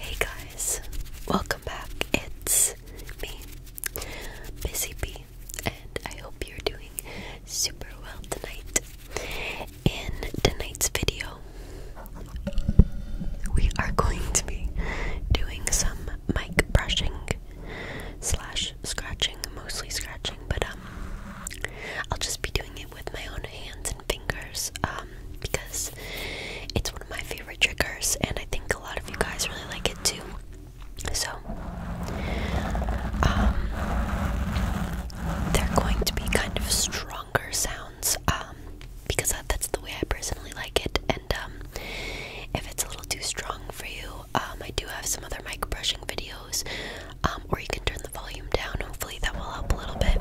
Hey guys, welcome back. It's me, Busy Bee, and I hope you're doing super well tonight. In tonight's video, we are going to be doing some mic brushing slash scratching, mostly scratching, but um, I'll just be doing it with my own hands and fingers, um, because it's one of my favorite triggers, and I think a lot of you guys really like it too. So, um, they're going to be kind of stronger sounds, um, because that's the way I personally like it. And um, if it's a little too strong for you, um, I do have some other mic brushing videos, or you can turn the volume down. Hopefully, that will help a little bit.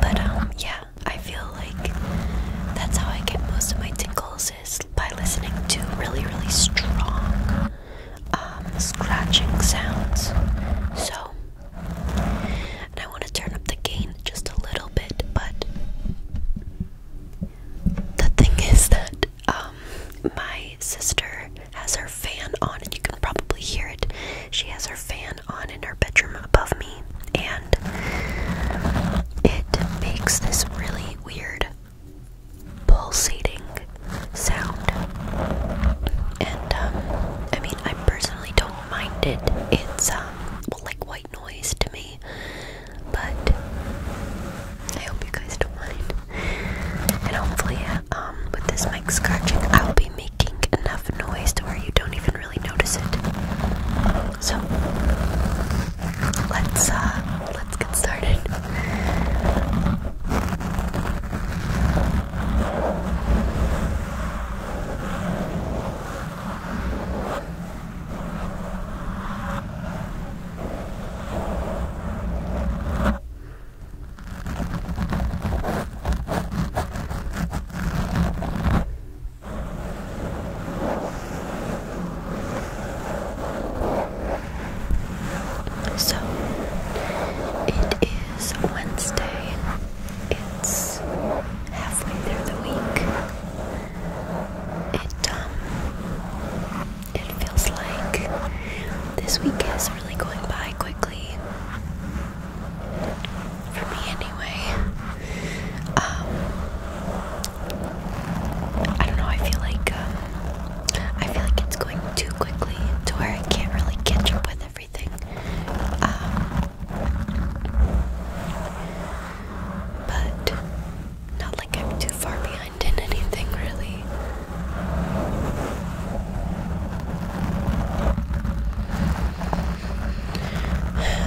But yeah, I feel like that's how I get most of my tinkles is by listening to really, really strong um, scratching sounds. So, I want to turn up the gain just a little bit, but the thing is that um, my sister has her fan on, and you can probably hear it. She has her fan on in her bedroom above me, and it makes this really weird pulsating sound. And um, I mean, I personally don't mind it. It's um, well, like white noise to me, but I hope you guys don't mind. And hopefully, um, with this mic scratching, I'll be making enough noise to where you don't even really notice it. So let's uh, let's get started. So it is Wednesday. It's halfway through the week. It um it feels like this week is really going by quickly for me anyway. Um, I don't know. I feel like um, I feel like it's going too quickly to where I can't really catch up with everything. Um, but not like I'm too far behind in anything, really.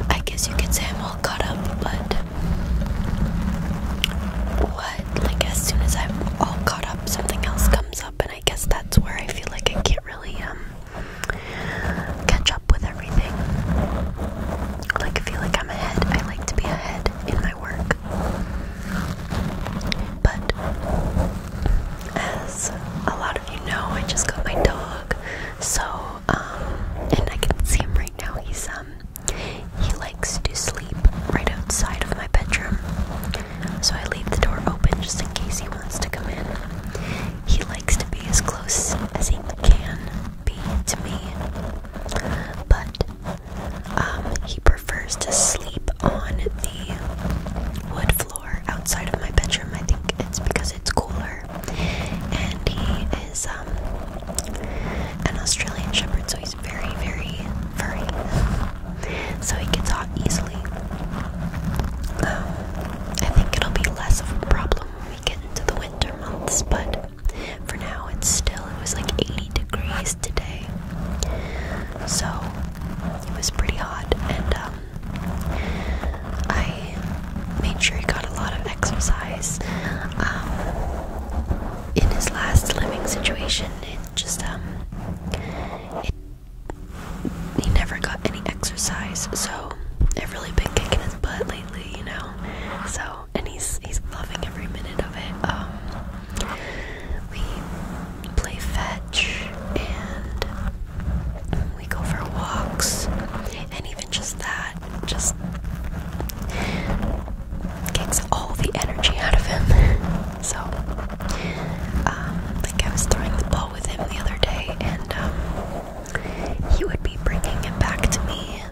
I guess you could say I'm all caught up, but what? Like, as soon as I'm all caught up, something else comes up, and I guess that's where I feel like I can't really, um, catch up with everything. Like, I feel like I'm ahead. I like to be ahead in my work. But, as a lot of you know, I just got my dog. So, um, and I can see him right now. He's, um, he likes to sleep right outside of my bedroom. So I leave the door open just in case he wants to come in. He likes to be as close as he can be to me. But, um, he prefers to sleep on the wood floor outside of my bedroom. I think it's because it's cooler. And he is um, an Australian Shepherd, so he's very, very furry. So he gets hot easily. Um, I think it'll be less of a problem when we get into the winter months, but for now it's still, it was like 80 degrees today. So it was pretty hot, and um, I made sure he got a lot of exercise. Um, in his last living situation, it just um, he never got any exercise, so I've really been kicking his butt lately, you know. So, and he's he's loving every minute of it. Um, we play fetch and we go for walks, and even just that just kicks all the energy out of him. so, um, like I was throwing the ball with him the other day, and um, he would be bringing it back to me.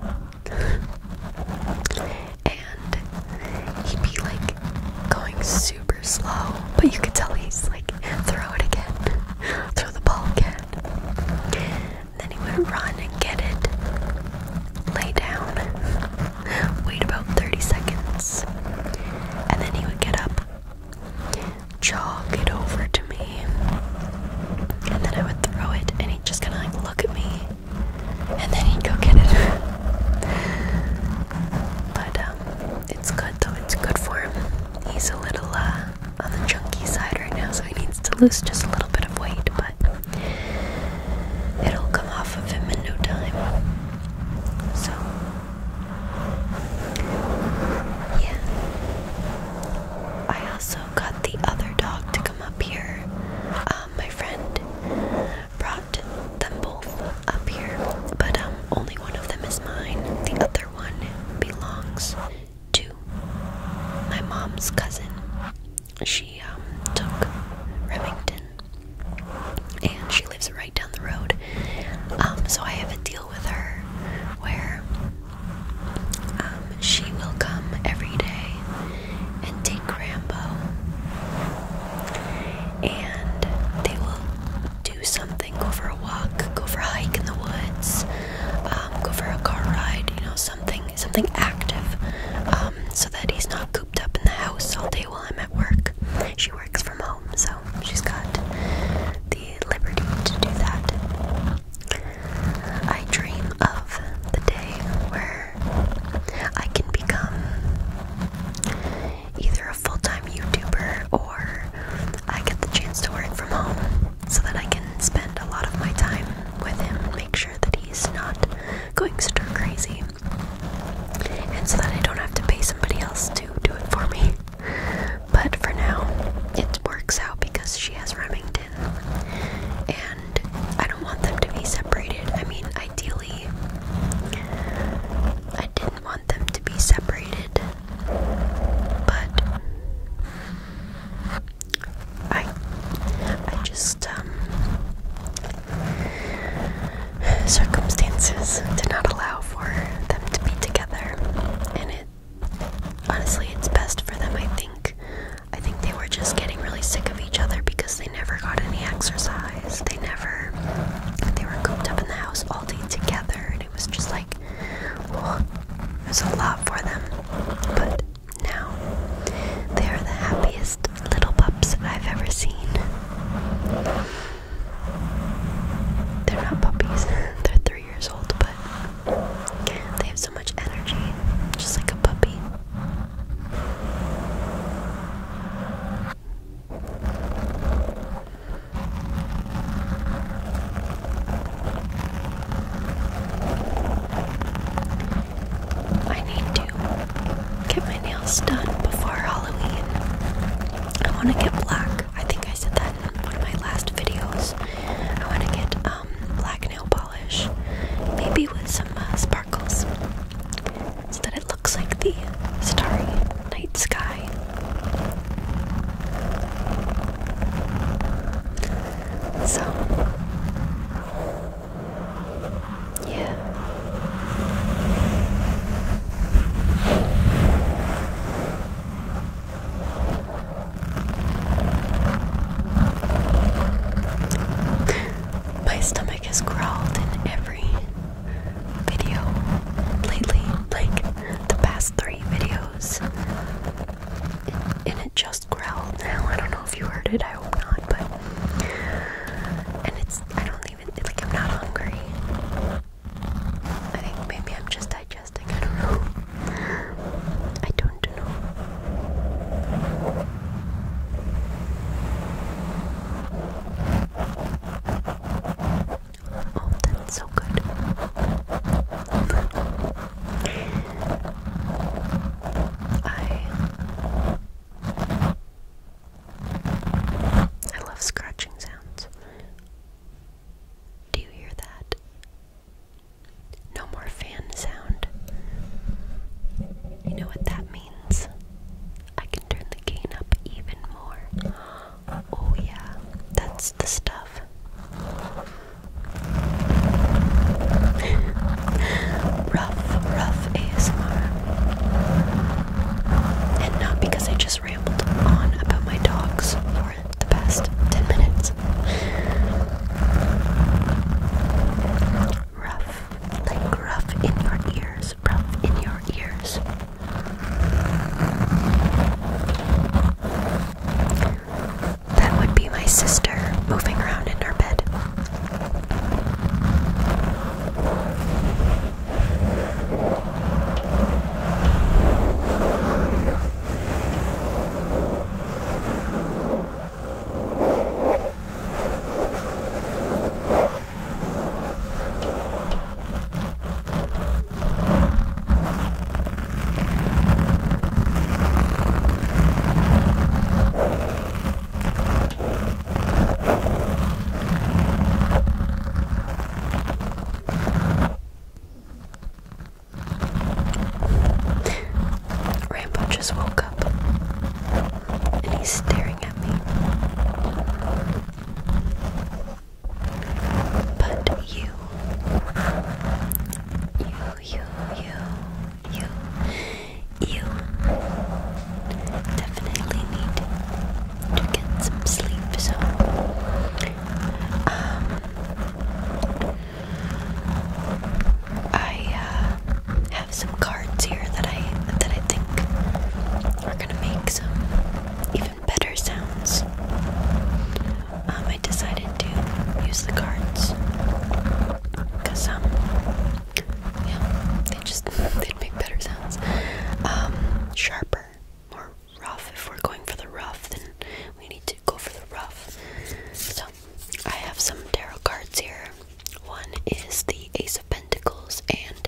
and he'd be like going super slow, but you could tell he's like like throw it again, throw the ball again. Then he would run and get it, lay down, wait about 30 seconds, and then he would get up, jog it over to me, and then I would throw it, and he'd just kind of like look at me, and then he'd go get it. but um, it's good though, it's good for him. He's a little uh, on the chunky side right now, so he needs to lose just a little bit of weight, but it'll come off of him in no time. So, yeah. I also got the other dog to come up here. Um, my friend brought them both up here, but um, only one of them is mine. The other one belongs to my mom's cousin. She um, took Remington and she lives right down the road. Um, so I have a deal with her where um, she will come every day and take Rambo and they will do something go for a walk, go for a hike in the woods, um, go for a car ride, you know, something something active, um, so that he's not cooped up in the house all day while I'm at work. She works from home, so she's got the liberty to do that. I dream of the day where I can become either a full time YouTuber or I get the chance to work from home so that I can spend a lot of my time with him, make sure that he's not going stir crazy, and so that I don't have to pay somebody else to do it for me. But for now, it works out because she has Remington, and I don't want them to be separated. I mean, ideally, I didn't want them to be separated but I I just um circumstances did not allow for them to be together and it honestly it's best for them I think I think they were just getting really sick of each other because they never got any exercise they never they were cooped up in the house all day together it was just like, oh, there's a lot for them. But now they are the happiest little pups I've ever seen. They're not puppies, they're three years old, but they have so much energy, just like a puppy. I need to get my nails done before Halloween. I want to get black. I think I said that in one of my last videos. I want to get um, black nail polish, maybe with some uh, sparkles, so that it looks like the starry night sky. So, yeah. My stomach has growled in every video lately, like the past three videos and it just growled now. I don't know if you heard it. I hope not, but and it's I don't even like I'm not hungry. I think maybe I'm just digesting. I don't know. I don't know. Oh, that's so good. I I love scratching sounds. Do you hear that? No more fan sound. You know what that means? I can turn the gain up even more. Oh, yeah, that's the stuff. rough, rough ASMR. And not because I just rambled on about my dogs for the past 10 minutes. Rough, like rough in your ears, rough in your ears. That would be my sister moving around in her bed. Rambo just woke up and he's staring at me. But you you, you, you, you, you definitely need to get some sleep. So, um, I uh, have some cards here that I that I think are gonna make some even better sounds. Um, I decided to use the cards because um, yeah, they just they'd make better sounds, um, sharper, more rough. If we're going for the rough, then we need to go for the rough. So I have some tarot cards here. One is the Ace of Pentacles, and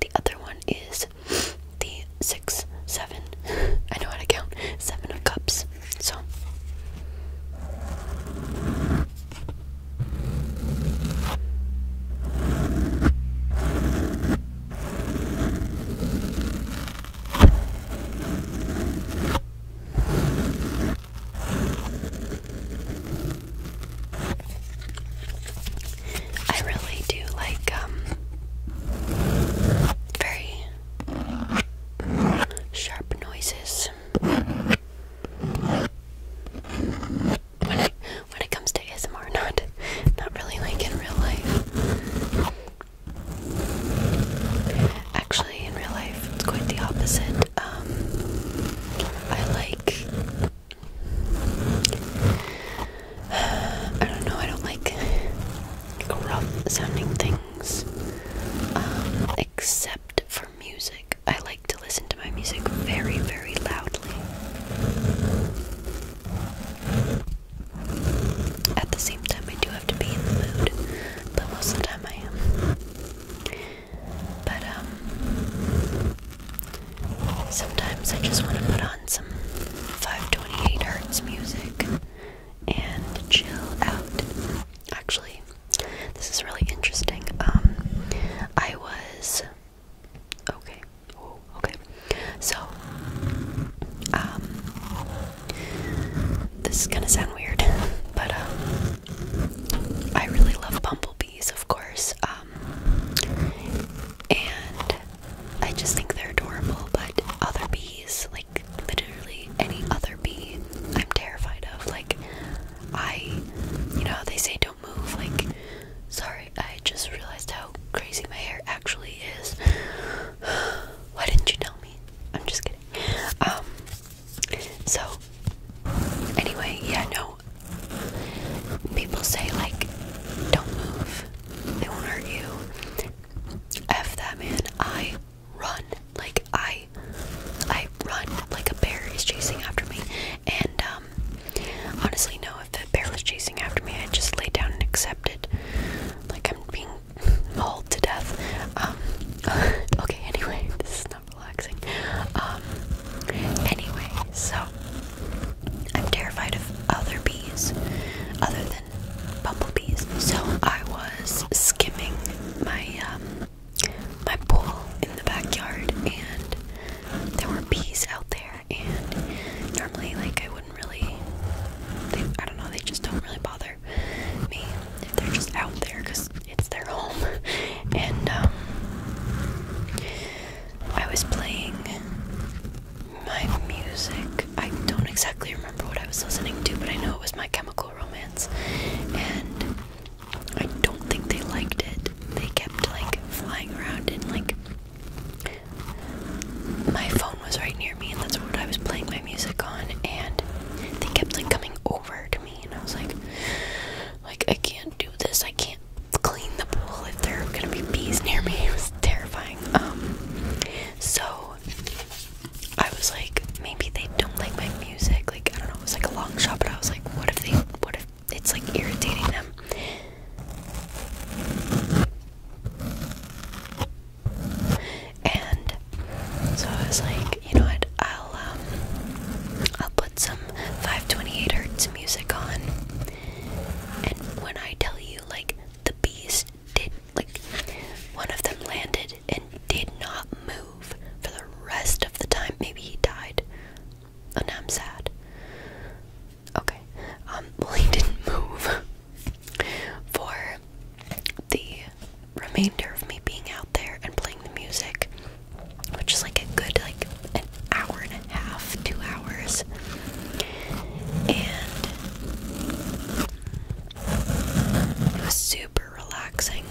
the other one is the six, seven. I know how to count. Seven of Cups. So. I really do like um very sharp noises. When it, comes to ASMR, not not really like in real life. Actually, in real life, it's quite the opposite. Um, I like. I don't know. I don't like gruff sounding things. Um, except for music. I like to listen to my music very, very loudly. At the same time, I do have to be in the mood, but most of the time I am. But, um, sometimes I just want to put on some 528 Hertz music and chill out. Actually, this is really interesting. Um, I was okay. Oh, okay. So, um, this is gonna sound weird, but um, I really love bumblebees, of course. Um, and I just think they're adorable. But other bees, like literally any other bee I'm terrified of. Like, I, you know, they say don't move. Like, sorry, I just realized how crazy my hair actually is. Why didn't you tell me? I'm just kidding. Um, so, anyway, yeah, no. People say, like, don't move, they won't hurt you. F that, man. I run like I I run like a bear is chasing after me and um honestly no if the bear was chasing after me I'd just lay down and accept it like I'm being mauled to death um, okay anyway this is not relaxing um anyway so I'm terrified of other bees other than than bumblebees. So I was skimming my um, my pool in the backyard, and there were bees out there. And normally, like I wouldn't really, they, I don't know, they just don't really bother me if they're just out there because it's their home. And um, I was playing my music. I don't exactly remember what I was listening to, but I know it was my chemical romance, and I don't think they liked it. They kept like flying around and like my phone was right near me, and that's what I was playing my music on, and they kept like coming over to me, and I was like, like I can't do this. I can't clean the pool if there are gonna be bees near me. It was terrifying. Um, so I was like, maybe they don't like my music. Like I don't know, it was like a long shot, but I was like, what if they? What if it's like irritating them? And so I was like, you know what? I'll um, I'll put some 528 hertz music on. And when I tell you, like the beast did like one of them landed and did not move for the rest of the time. Maybe he died. and now I'm sad. Okay. Um, well, he didn't move for the remainder of me being out there and playing the music, which is like a good, like, an hour and a half, two hours. And it was super relaxing.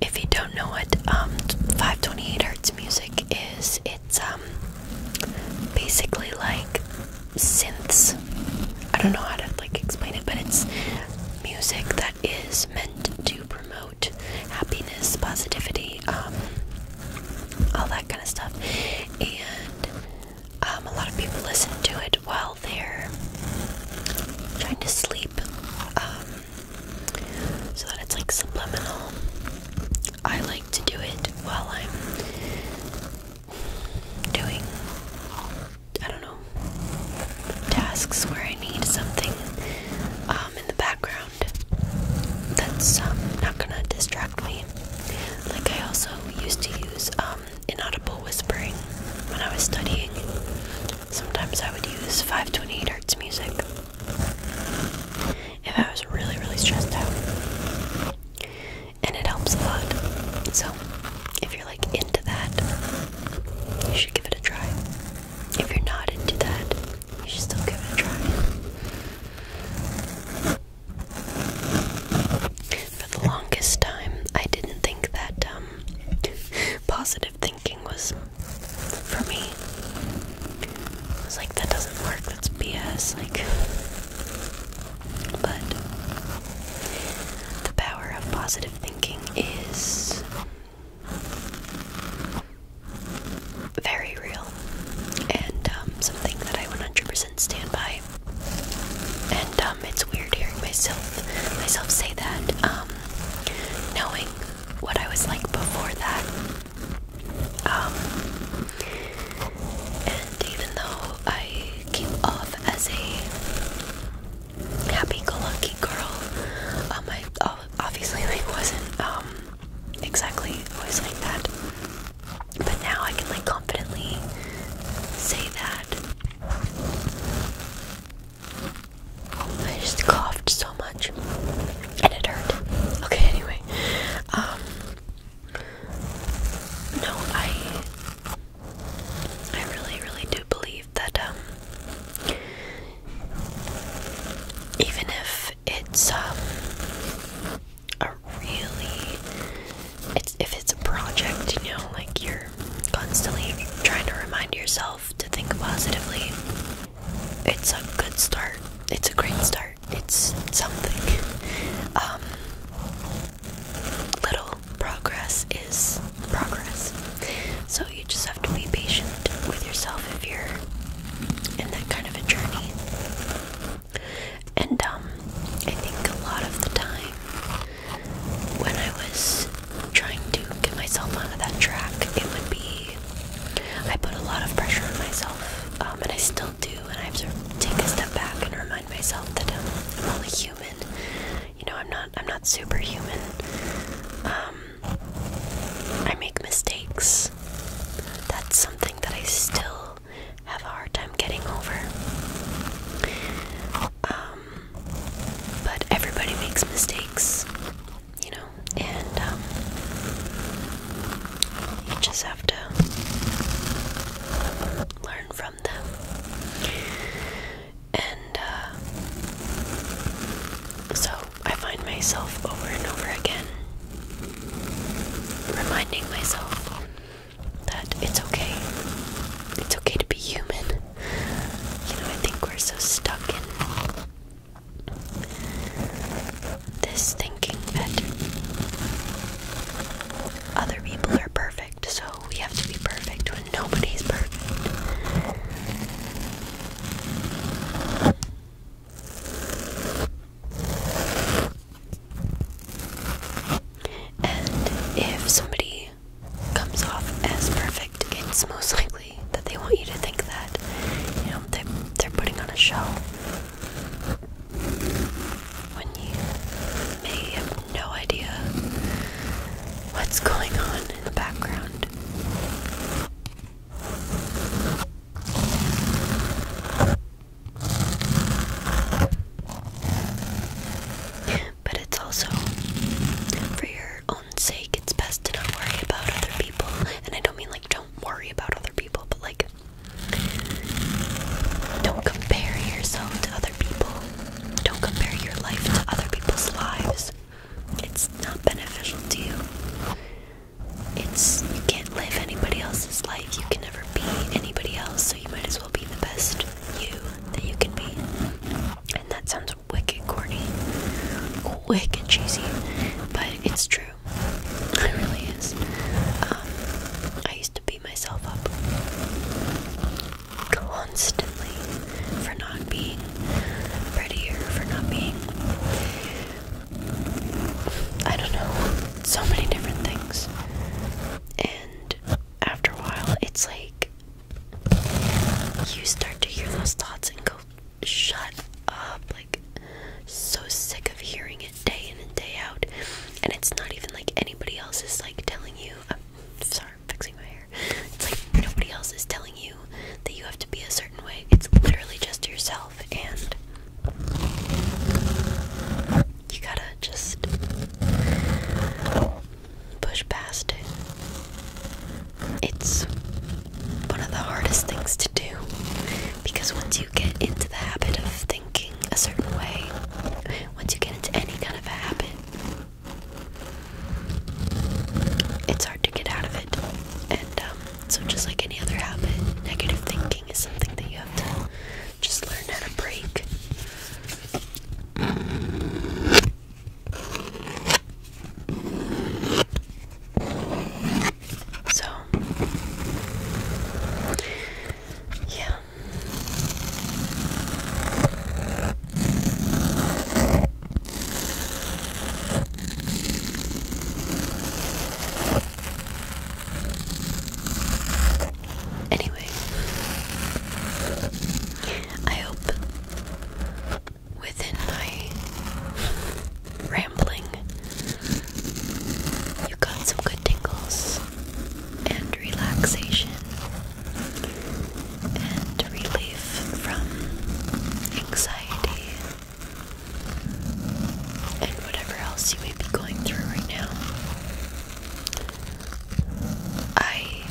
If you don't know what um, 528 hertz music is, it's um, basically like synths. I don't know how to like explain it, but it's music that is meant to promote happiness, positivity, um, all that kind of stuff. And a lot of people listen to it Well there. i trying to sleep um, so that it's like subliminal. I like to do it while I'm doing, I don't know, tasks where I need something um, in the background that's um, not gonna distract me. Like I also used to use inaudible whispering when I was studying. Sometimes I would use 528 hertz music if I was really, really stressed out. And it helps a lot. So, if you're like into that, you should give it a try. If you're not into that, you should still give it a try. For the longest time, I didn't think that um, positive thinking was for me. I was like, that doesn't work, that's BS. Like, but the power of positive thinking is very real and um, something that I 100% stand by. And um, it's weird hearing myself myself say that, um, knowing what I was like before that. Um, and even though I came off as a happy-go-lucky girl, I obviously like wasn't exactly always like that. But now I can like confidently say that. I just coughed so much and it hurt. Okay, anyway. Um No, I I really, really do believe that um even if it's um a really it's if it's a project, you know, like you constantly trying to remind yourself to think positively, it's a good start. It's a great start. It's something. Um, little progress is progress. So you just have to be patient with yourself if you're in that kind of a journey. And um, I think a lot of the time when I was trying to get myself onto that track, it would be. I put a lot of pressure on myself, um, and I still do, and I have to take a step back and remind myself that um, I'm only human. You know, I'm not. I'm not superhuman. Um, I make mistakes. That's something that I still have a hard time getting over. Um, but everybody makes mistakes, you know, and um, you just have to learn from them. And uh, so I find myself over and over again reminding myself that it's okay. It's okay to be human. You know, I think we're so stuck in this thinking that other people are perfect, so we have to be perfect when nobody's perfect. And if somebody comes off as perfect, it's most likely that they want you to think that. You know, they, they're putting on a show. When you may have no idea what's going on in the background but it's also for your own sake, it's best to not worry about other people. And I don't mean like don't worry about other people, but like don't compare yourself to other people. Don't compare your life to other people's lives. It's not beneficial to you. It's you can't live anybody else's life. You can never be anybody else, so you might as well be the best you that you can be. And that sounds sounds wicked corny, wicked cheesy, but it's true. It really is. Um, I used to beat myself up constantly for not being prettier, for not being. I don't know, so many different things. And after a while, it's like you start to hear those thoughts and go, shut up. Like, so sick of hearing it day in and day out. And it's not even like anybody else is like telling you. I'm uh, sorry, I'm fixing my hair. It's like nobody else is telling you that you have to be a certain way. It's literally just yourself, and you gotta just push past it. It's one of the hardest things to do because once you get into the habit of thinking a certain way, once you get into any kind of a habit, it's hard to get out of it. And um, so, just like any other habit, negative thinking is something that you have to just learn how to break. So, yeah. Anyway, I hope within my rambling, you got some good tingles and relaxation and relief from anxiety and whatever else you may be going through right now. I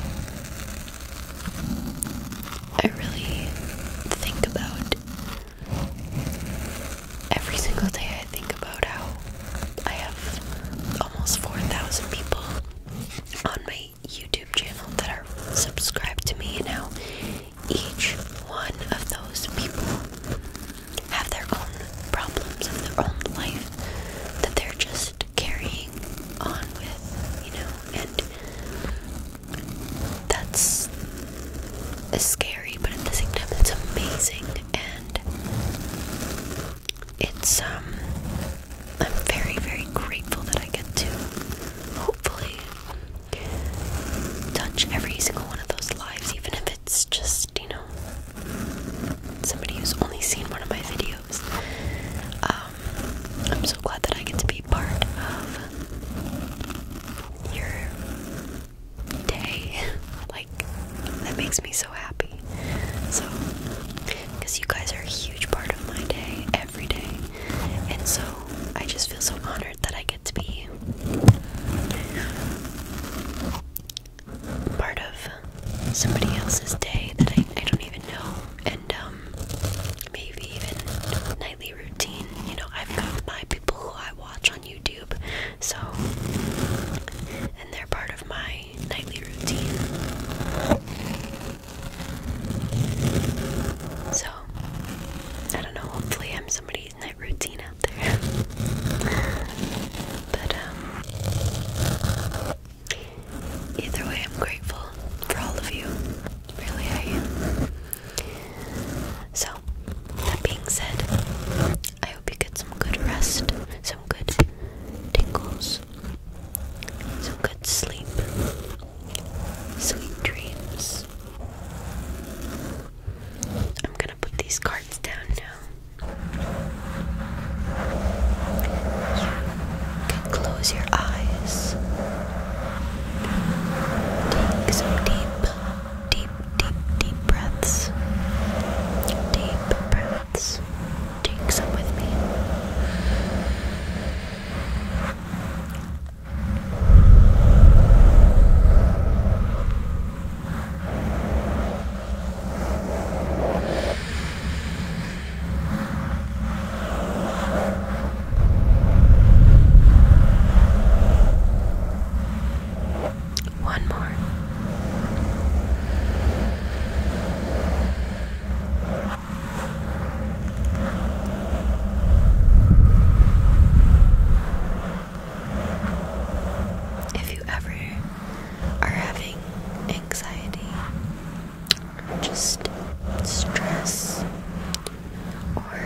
I really think about every single day. I think about how I have almost 4,000 people on my YouTube channel that are subscribed to me, and how each one of those people have their own problems in their own life that they're just carrying on with, you know, and that's scary, but at the same time, it's amazing, and it's um, I'm very, very grateful that I get to hopefully touch every single one of those lives, even if it's just you know somebody who's only seen one of my videos. Uh, I'm so glad that I get to be part of your day. Like, that makes me so happy. So, because you guys are a huge part of my day every day, and so I just feel so honored that I get to be part of somebody else's day that I, I don't even know. And, um, maybe even nightly routine. You know, I've got my people who I watch on YouTube, so and they're part of my nightly routine. So I don't know, hopefully I'm somebody's night routine out there. but um, either way I'm grateful for all of you. Really, I am. So, that being said, I hope you get some good rest, some good tingles, some good sleep, sweet dreams. I'm gonna put these cards down now can close your eyes. Take some deep, deep, deep, deep breaths. Deep breaths. Take some with me. Deep one more. If you ever are having anxiety just stress or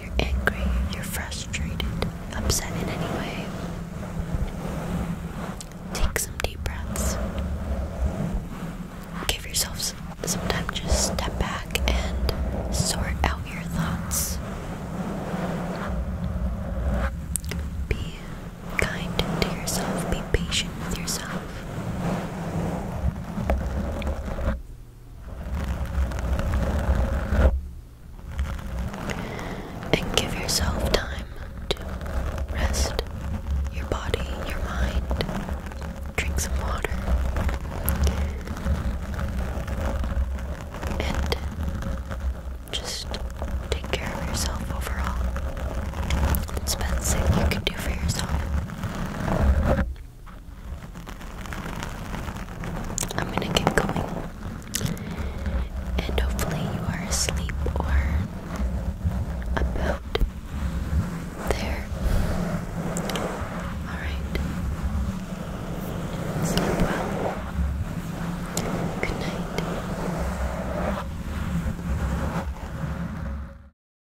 you're angry, you're frustrated, upset in any way, take some deep breaths. Give yourself some, time just step back and sort out your thoughts. Be kind to yourself, be patient with yourself. And give yourself time to rest your body, your mind. Drink some water. And just take care of yourself overall. It's the you can do for yourself. I'm gonna get going. And hopefully, you are asleep or about there. Alright. Sleep well. Good night.